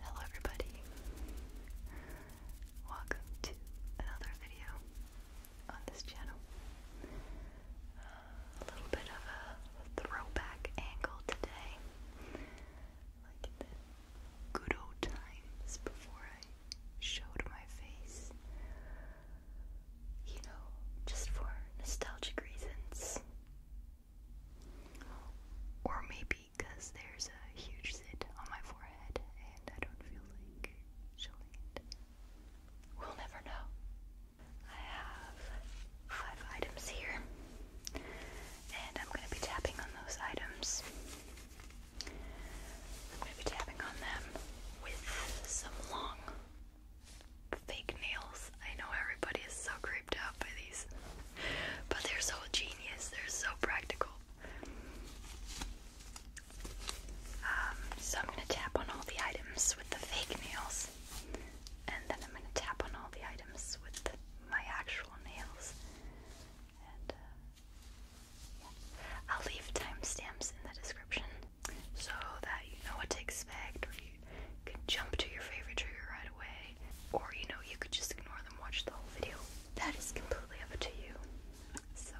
Hello everybody. Welcome to another video on this channel. Uh, a little bit of a throwback angle today. Like good old times before I showed my face. You know, just for nostalgic reasons. Or maybe because there's a huge zit on my forehead and I don't feel like showing it. We'll never know. I have five items here, and I'm going to be tapping on those items. I'm going to be tapping on them with some long fake nails. I know everybody is so creeped out by these, but they're so genius, they're so practical. Um, so I'm gonna tap on all the items with the fake nails, and then I'm gonna tap on all the items with the, my actual nails. And uh, yeah. I'll leave timestamps in the description so that you know what to expect, or you can jump to your favorite trigger right away, or you know, you could just ignore them, watch the whole video. That is completely up to you. So,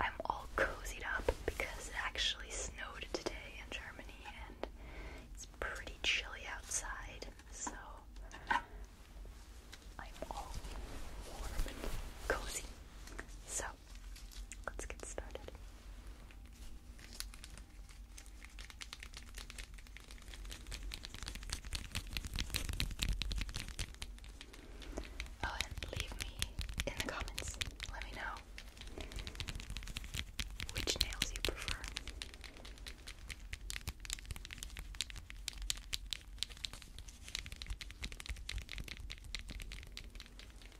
I'm all cozied up because it actually snowed today in Germany and it's pretty chilly outside, so I'm all warm and cozy. So, let's get started. Oh, and leave me in the comments. Let me know which nails you prefer.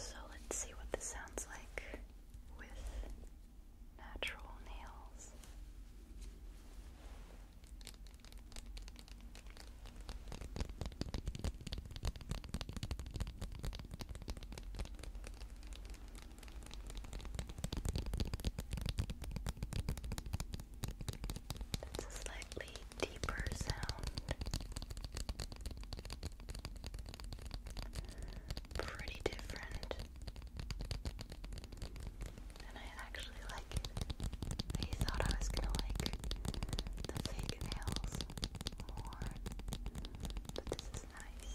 So let's see what this sounds like with natural nails. That's a slightly deeper sound. Pretty different. And I like it. I thought I was gonna like the fake nails more, but this is nice.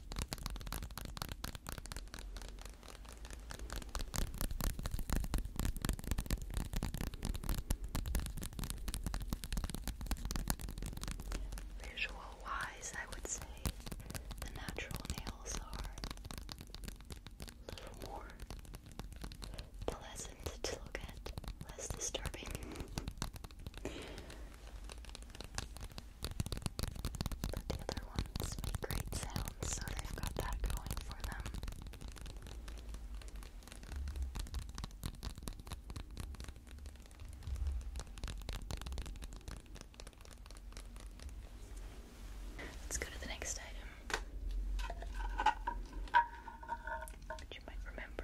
Visual wise, I would say the natural nails are a little more pleasant to look at, less disturbing. But the other ones make great sounds, so they got that going for them. Let's go to the next item, which you might remember.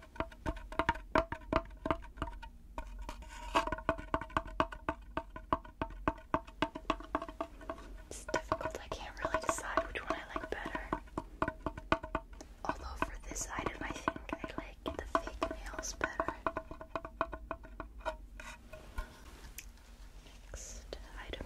It's difficult. I can't really decide which one I like better. Although for this item, I think I like the fake nails better. Next item.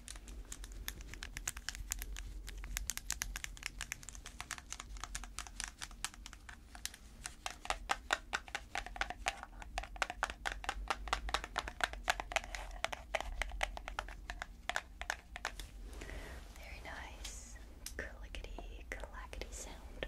Very nice clickety clackety sound.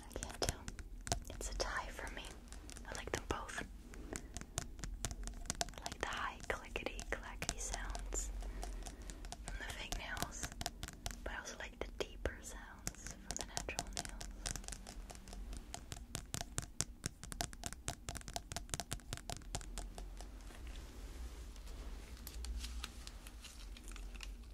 I can't tell. It's a tie for me. I like them both. I like the high clickety clackety sounds from the fake nails, but I also like the deeper sounds from the natural nails.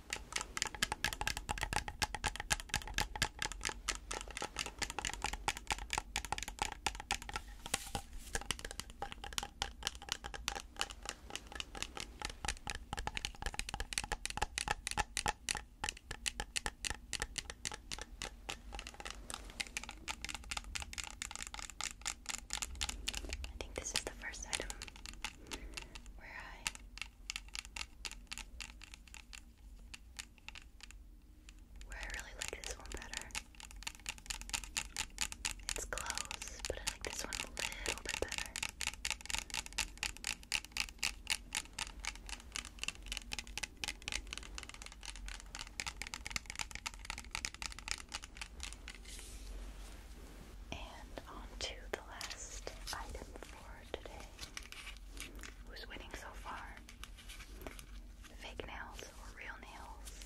I think this is the first item where I where I really like this one better. It's close, but I like this one a little bit better. And on to the last item for today. Who's winning so far? Fake nails or real nails?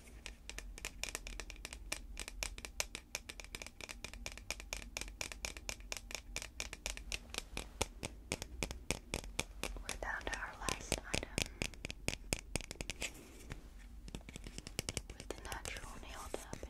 We're our last item with natural nail tapping.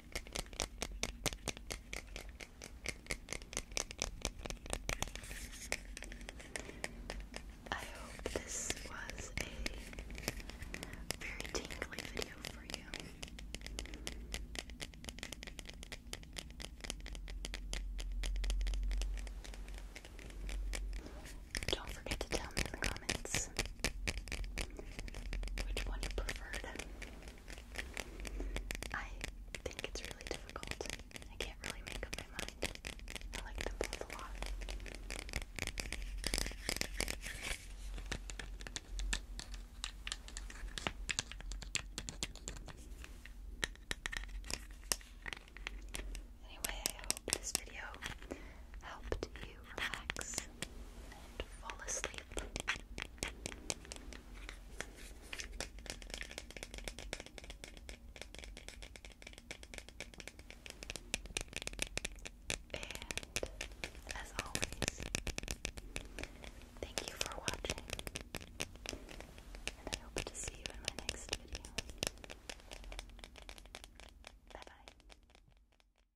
I hope this was a very tingly video for you. Don't forget to tell me in the comments which one you preferred. I think it's really difficult. I can't really make up my mind. I like them both a lot. Anyway, I hope this video helped you relax and fall asleep. as always, thank you for watching, and I hope to see you in my next video. Bye bye.